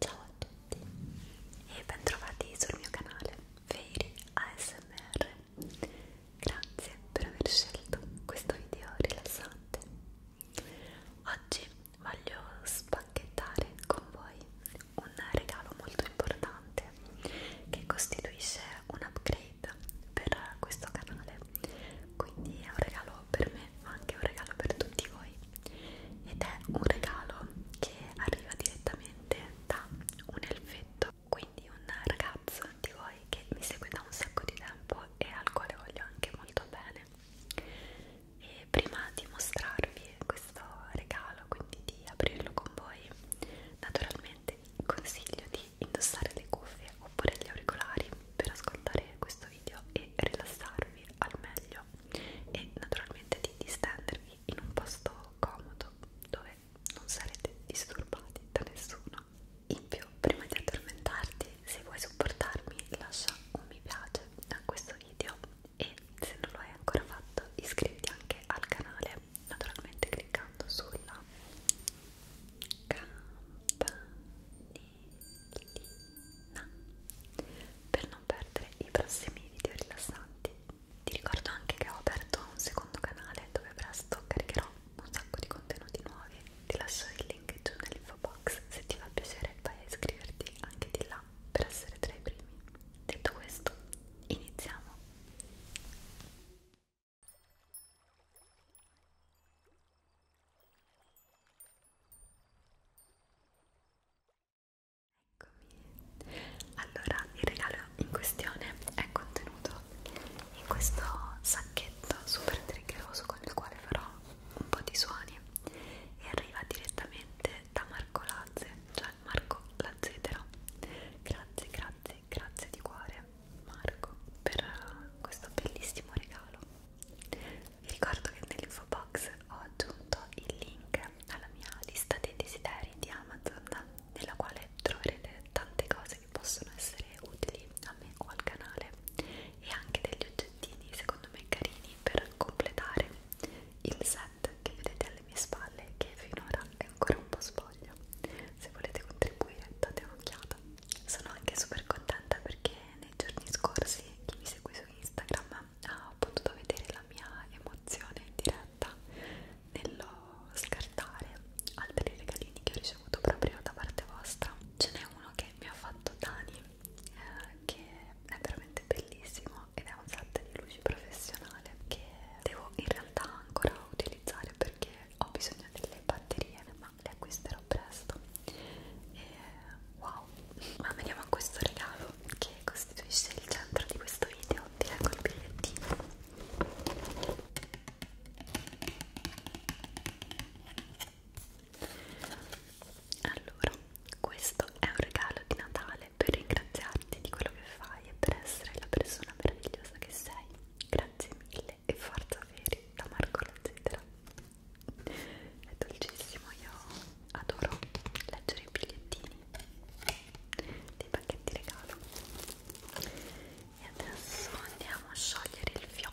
Ciao a tutti e bentrovati sul mio canale Fairy ASMR. Grazie per aver scelto questo video rilassante. Oggi voglio spacchettare con voi un regalo molto importante che costituisce un upgrade per questo canale. Quindi è un regalo per me, ma anche un regalo per tutti voi voi ed è un regalo che arriva direttamente da un elfetto quindi un ragazzo di voi che mi segue da un sacco di tempo e al quale voglio anche molto bene e prima di mostrarvi questo regalo quindi di aprirlo con voi naturalmente vi consiglio di indossare le cuffie oppure gli auricolari per ascoltare questo video e rilassarvi al meglio e naturalmente di distendervi in un posto comodo dove non sarete disturbati da nessuno. In più, prima di addormentarti, se vuoi supportarmi, lascia un mi piace a questo video e se non lo hai ancora fatto, iscriviti anche al canale, naturalmente cliccando sulla campanellina per non perdere i prossimi video rilassanti. Ti ricordo anche che ho aperto un secondo canale dove presto caricherò un sacco di contenuti nuovi. Ti lascio il link giù nell'info box se ti fa piacere vai a iscriverti anche di là per essere tra i primi. Detto questo, iniziamo! Eccomi. Allora, il regalo in questione è contenuto in questo sacchetto super triggeroso con il quale farò un po' di suoni e arriva direttamente da Marco Lazze, cioè Marco Lazzetero. Grazie, grazie, grazie di cuore Marco per questo bellissimo regalo vi ricordo che nell'info box ho aggiunto il link alla mia lista dei desideri di Amazon nella quale troverete tante cose che possono essere utili a me o al canale e anche degli oggettini secondo me carini per completare il set che vedete alle mie spalle che finora è ancora un po' spoglio se volete contribuire date un'occhiata sono anche super contenta perché nei giorni scorsi chi mi segue su Instagram ha potuto vedere la mia emozione in diretta nello scartare altri regalini che ho ricevuto proprio da parte vostra. Ce n'è uno che mi ha fatto Dani, eh, che è veramente bellissimo ed è un set di luci professionale che devo in realtà ancora utilizzare perché ho bisogno delle batterie, ma le acquisterò presto e wow ma veniamo a questo regalo che costituisce il centro di questo video ti leggo il bigliettino allora questo è un regalo di Natale per ringraziarti di quello che fai e per essere la persona meravigliosa che sei grazie mille e forza veri da Marco la Zedra è dolcissimo, io adoro leggere i bigliettini dei pacchetti regalo e adesso andiamo a sciogliere il fiocco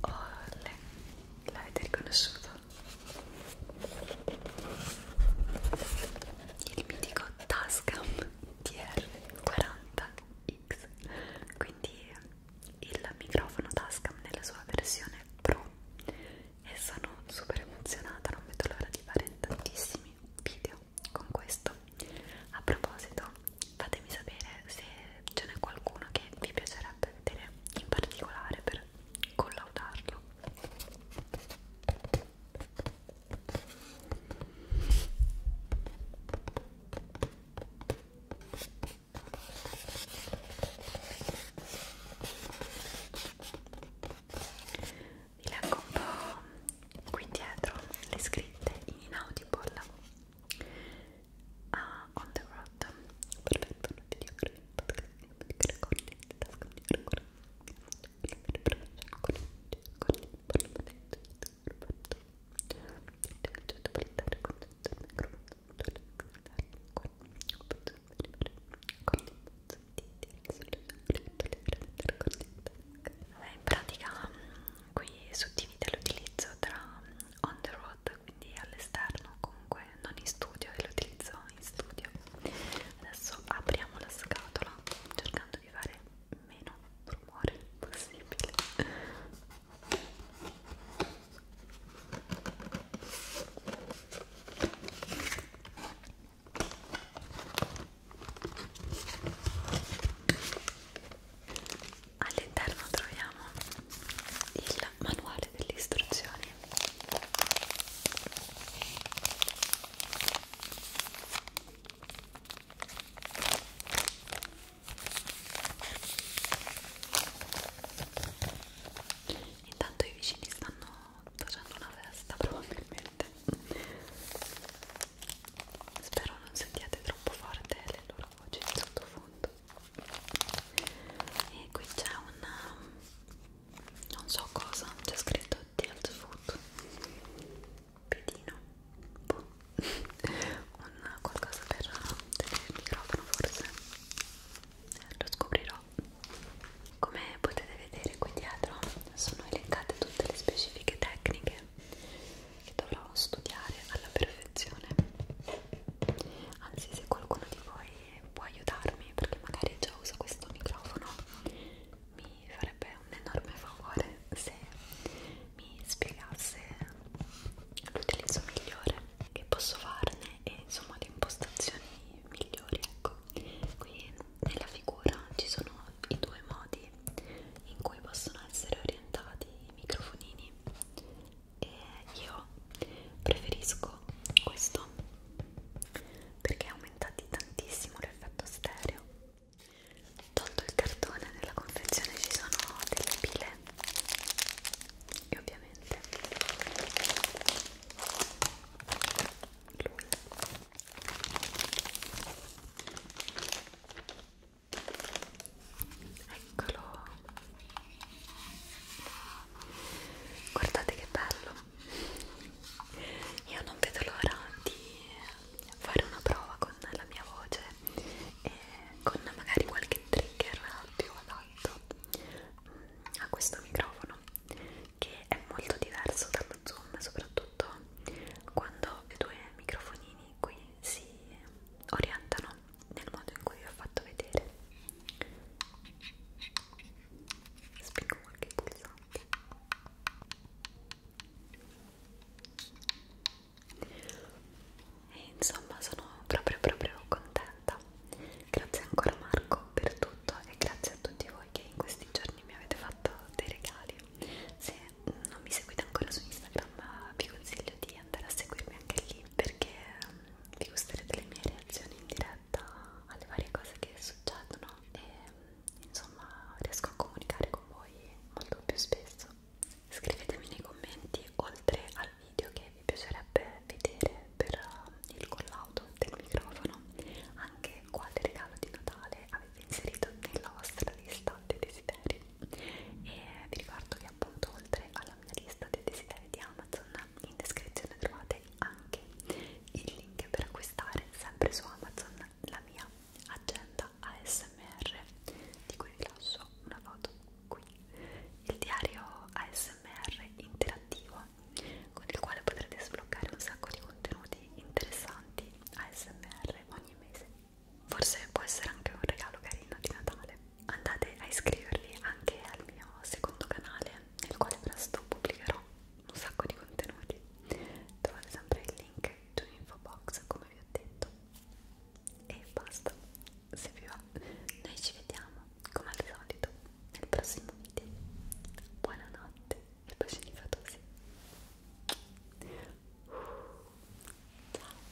Olle, l'avete riconosciuto? Il mitico Tascam TR40X, quindi il microfono Tascam nella sua versione Pro e sono super emozionata, non vedo l'ora di fare tantissimi video con questo. A proposito, fatemi sapere se ce n'è qualcuno che vi piacerebbe vedere in particolare per collaudarlo vi leggo un po' qui dietro le scritte in inaudible ah, on the road perfetto non ti dico Vabbè, in pratica mm, qui suddivide l'utilizzo tra mm, on the road, quindi all'esterno, comunque non in studio, e l'utilizzo in studio. Adesso apriamo la scatola cercando di fare meno rumore possibile. All'interno troviamo il manuale delle istruzioni. Intanto i vicini stanno facendo una festa probabilmente spero non sentiate troppo forte le loro voci in sottofondo e qui c'è un um, non so cosa c'è scritto tilt food pedino boh. un qualcosa per uh, tenere il microfono forse lo scoprirò come potete vedere qui dietro sono elencate tutte le specifiche tecniche che dovrò studiare alla perfezione anzi se qualcuno di voi può aiutarmi perché magari già uso questo microfono mi farebbe un enorme favore se mi spiegasse l'utilizzo migliore che posso farne e insomma le impostazioni migliori ecco qui nella figura ci sono i due modi in cui possono essere orientati i microfonini e io preferisco questo perché aumentate tantissimo l'effetto stereo tolto il cartone nella confezione ci sono delle pile e ovviamente Eccolo. Guardate che bello. Io non vedo l'ora di fare una prova con la mia voce e con magari qualche trigger più adatto a questo microfono che è molto diverso dallo zoom soprattutto quando i due microfonini qui si orientano nel modo in cui vi ho fatto vedere spingo qualche pulsante e insomma sono proprio proprio contenta Grazie ancora Marco per tutto e grazie a tutti voi che in questi giorni mi avete fatto dei regali. Se non mi seguite ancora su Instagram vi consiglio di andare a seguirmi anche lì perché mm, vi gusterete le mie reazioni in diretta alle varie cose che succedono e mm, insomma riesco a comunicare con voi molto più spesso. Scrivetemi nei commenti oltre al video che vi piacerebbe vedere per eh, il collaudo del microfono anche quale regalo di Natale avete inserito nella vostra lista dei desideri e vi ricordo che appunto oltre alla mia lista dei desideri di Amazon in descrizione trovate anche il link per acquistare sempre su Amazon la mia agenda ASMR di cui vi lascio una foto qui il diario ASMR interattivo con il quale potrete sbloccare un sacco di contenuti interessanti ASMR ogni mese. Forse può essere anche un regalo carino di Natale. Andate a iscrivervi anche al mio secondo canale, nel quale presto pubblicherò un sacco di contenuti. Trovate sempre il link giù in info box, come vi ho detto. E basta, se vi va, noi ci vediamo come al solito nel prossimo video buonanotte e bacini fatosi ciao